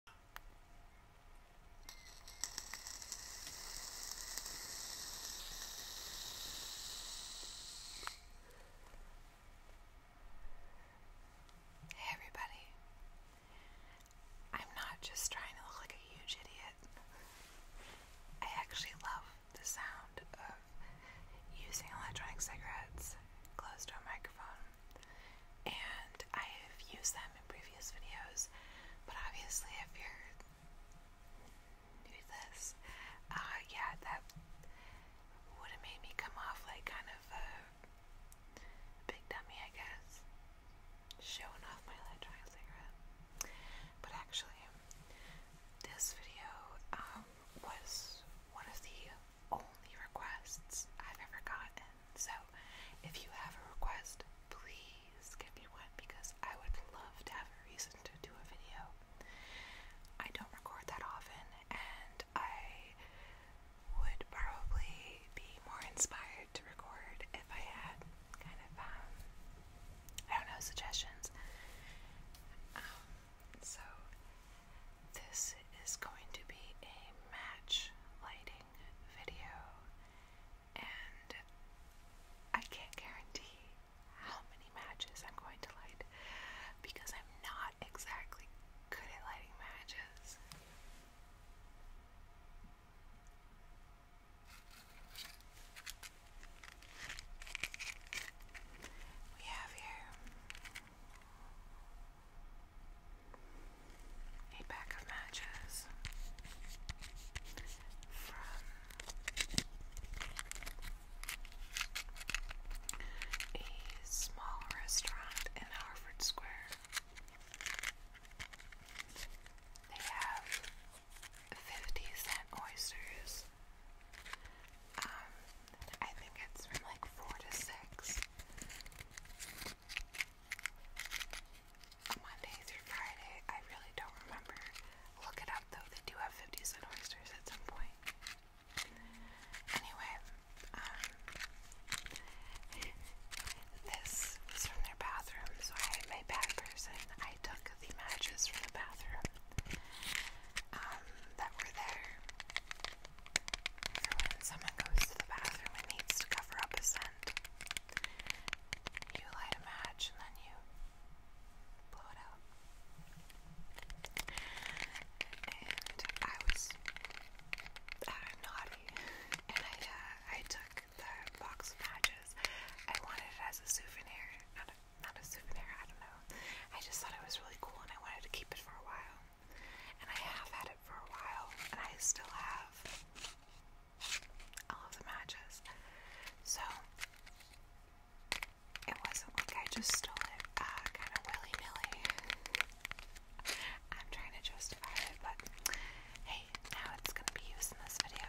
Hey everybody. I'm not just trying to look like a huge idiot. I actually love the sound of using electronic cigarettes close to a microphone and I have used them in previous videos, but obviously if you're new to this, uh, yeah, that would have made me come off like kind of a big dummy, I guess, showing off my electronic cigarette. But actually, this video um, was one of the only requests I've ever gotten. So if you have a request, please give me one because I would love to have a reason to do a video. I don't record that often, and I would probably be more inspired to record if I had kind of, um, I don't know, suggestions. Um, so this is going to be a match lighting video, and I can't guarantee how many matches I'm going to light because I'm not exactly good at lighting matches. We have here a pack of matches from a small restaurant in Harvard Square. They have 50 cent oysters, um, I think it's from like four to six. Monday through Friday, I really don't remember. Look it up though, they do have 50 cent oysters at some point. Anyway, um, this was from their bathroom, so I am bad person. I took the matches from the bathroom um, that were there for when someone goes to the bathroom and needs to cover up a scent, you light a match and then you blow it out. And I was naughty, and I uh, I took the box of matches. I wanted it as a souvenir, not a, not a souvenir. I don't know. I just thought it was really cool, and I wanted to keep it for a while. And I have had it for a while, and I still have all of the matches. So it wasn't like I just stole it uh, kind of willy nilly. I'm trying to justify it, but hey, now it's going to be used in this video,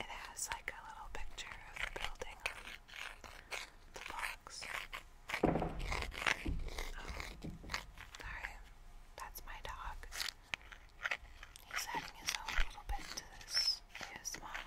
It has like a little picture of the building the box. Oh, sorry. That's my dog. He's adding his own little bit to this ASMR.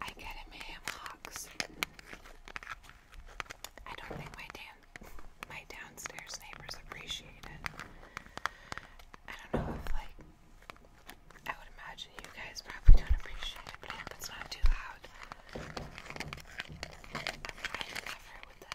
I get him ham hocks. I don't think my damn my downstairs neighbors appreciate it. I don't know if like I would imagine you guys probably don't appreciate it, but I it's not too loud. I'm trying to cover it with the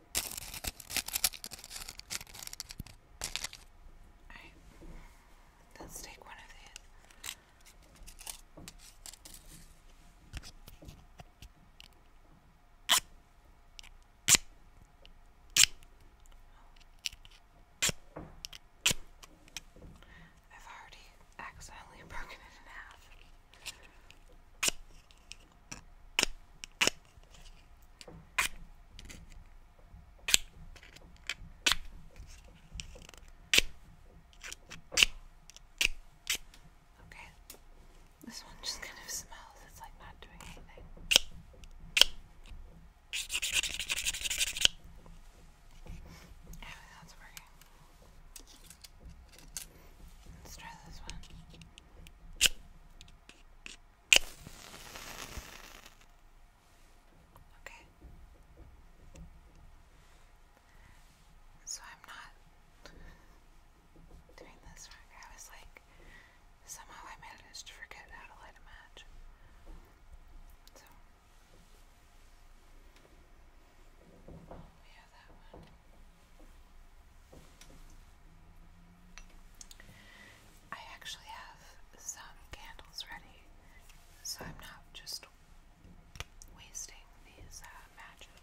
let's take one of these. I've already accidentally broken it in half. Okay, this one just kind of smells, it's like not doing anything. Yeah, that's working. Let's try this one. Okay. So I'm not doing this I was like, somehow I managed to forget how to light a match. So we have that one. I actually have some candles ready, so I'm not just wasting these uh, matches.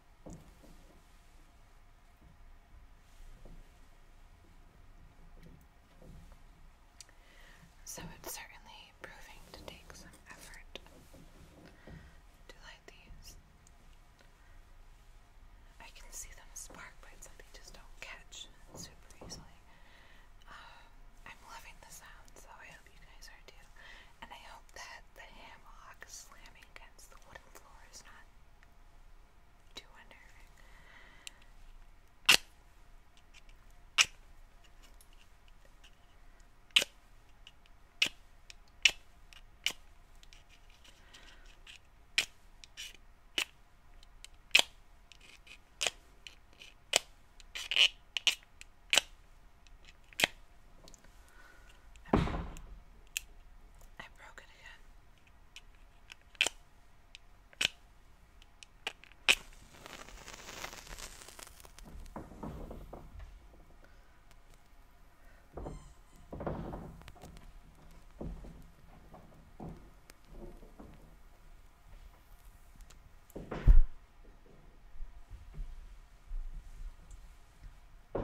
So it's certainly proving to take some effort to light these. I can see them spark, but it's something just don't catch super easily. Um, I'm loving the sound, so I hope you guys are too and I hope that the hammock slamming against the wooden floor is not too unnerving. I, I broke it again. I'm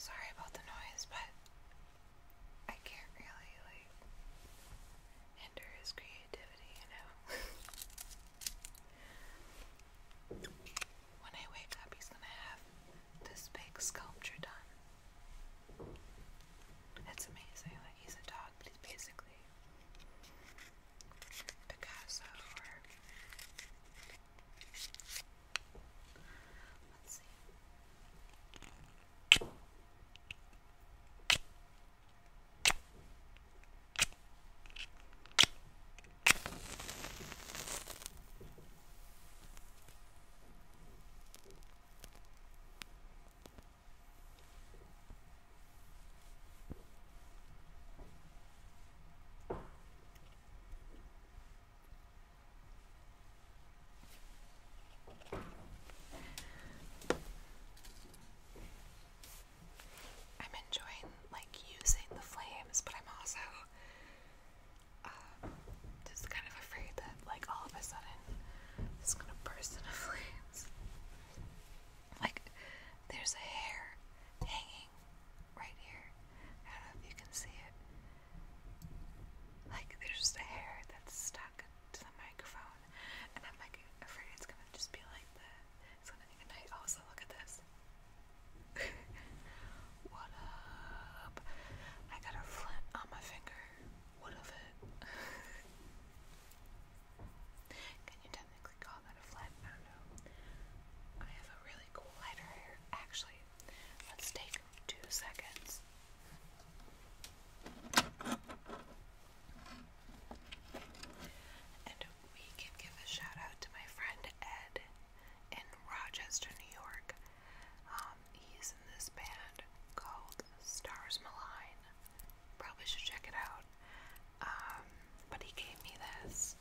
sorry about the noise, but I can't really like hinder his creativity, you know. when I wake up, he's gonna have this big sculpture done. It's amazing. Like he's a dog, but he's basically Picasso or let's see. I'm enjoying like using the flames, but I'm also uh, just kind of afraid that like all of a sudden it's gonna burst into flames. Like, there's a hair hanging right here. I don't know if you can see it. Like, there's just a hair that's stuck to the microphone, and I'm like afraid it's gonna just be like that. It's gonna be a night. Also, look at this. what up? I got a flint on my finger. What of it? Can you technically call that a flat? I have a really cool lighter here. Actually, let's take two seconds. And we can give a shout out to my friend Ed in Rochester, New York. Um, um, he's in this band called Stars Malign. Probably should check it out. Um, but he gave me this.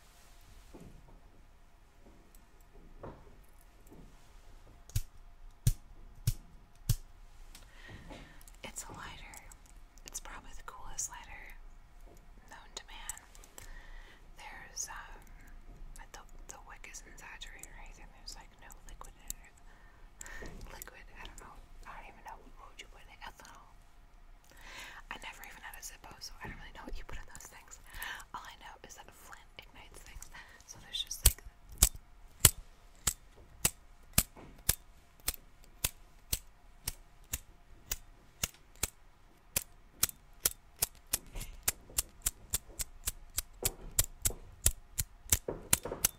It's a lighter. It's probably the coolest lighter known to man. There's um, the the wick isn't saturated or anything. There's like no liquid in it liquid. I don't know. I don't even know what would you put in Ethanol. I never even had a Zippo, so I don't really know what you put in those things. All I know is that flint ignites things, so there's just like. It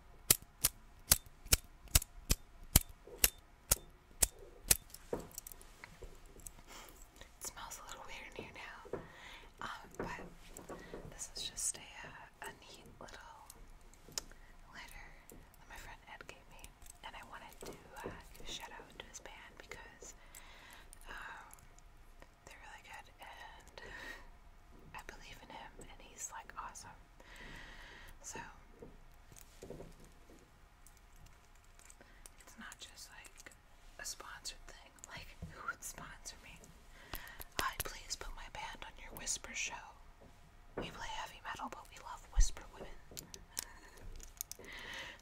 smells a little weird in here now, um, but this is just a, uh, a neat little letter that my friend Ed gave me, and I wanted to uh, shout out to his band because um, they're really good, and I believe in him, and he's like awesome. So it's not just like a sponsored thing. Like, who would sponsor me? Hi, please put my band on your Whisper show. We play heavy metal, but we love Whisper women.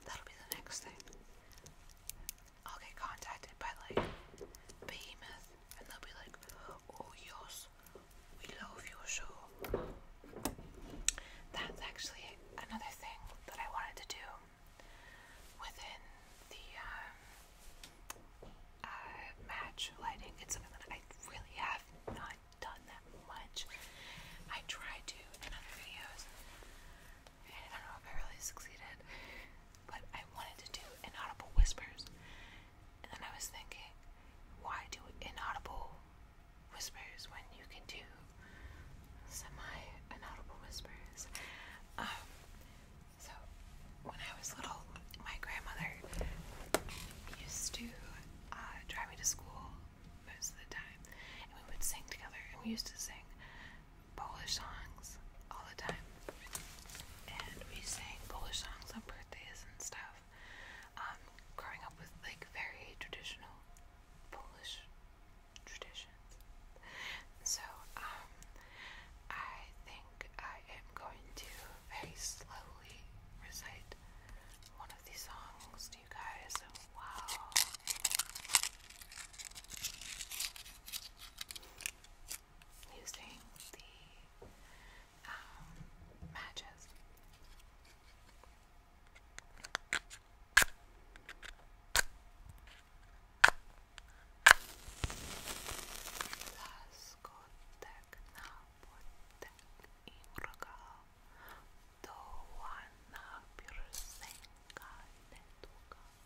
That'll be the next thing. I'll get contacted by like Behemoth and they'll be like, oh yours, we love your show. That's actually another thing that I wanted to do within the um, uh, match lighting. It's something that I really have not done that much. I tried to in other videos, and I don't know if I really succeeded but I wanted to do inaudible whispers. And then I was thinking, why do inaudible whispers when you can do semi inaudible whispers? Um, so when I was little, my grandmother used to uh, drive me to school most of the time, and we would sing together, and we used to sing Polish songs all the time, and we sang Polish songs on birthdays and stuff. Um, growing up with like very traditional Polish traditions, so um, I think I am going to very slowly recite one of these songs to you guys. Wow using the um, matches. Ласкотекна и врага, до вана пирсенка не тука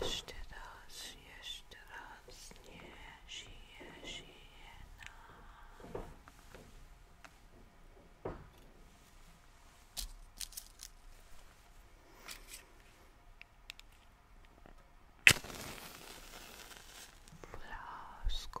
Jeszcze raz, jeszcze raz, nie żyje, żyje nam. Blasku,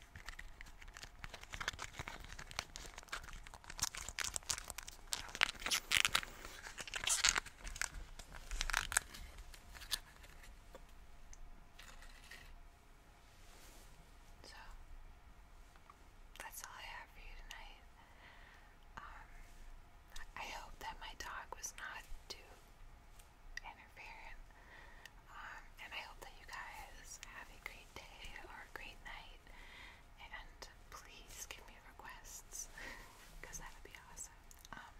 so that's all I have for you tonight. Um, I hope that my dog was not too interfering um, and I hope that you guys have a great day or a great night. And please give me requests because that would be awesome. Um,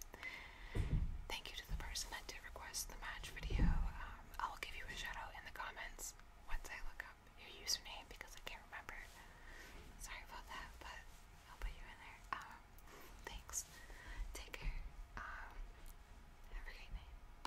thank you to the person that did request the match video. Um, I'll give you a shout out in the comments once I look up your username because I can't remember. Sorry about that, but I'll put you in there. thanks. Take care. have a great night.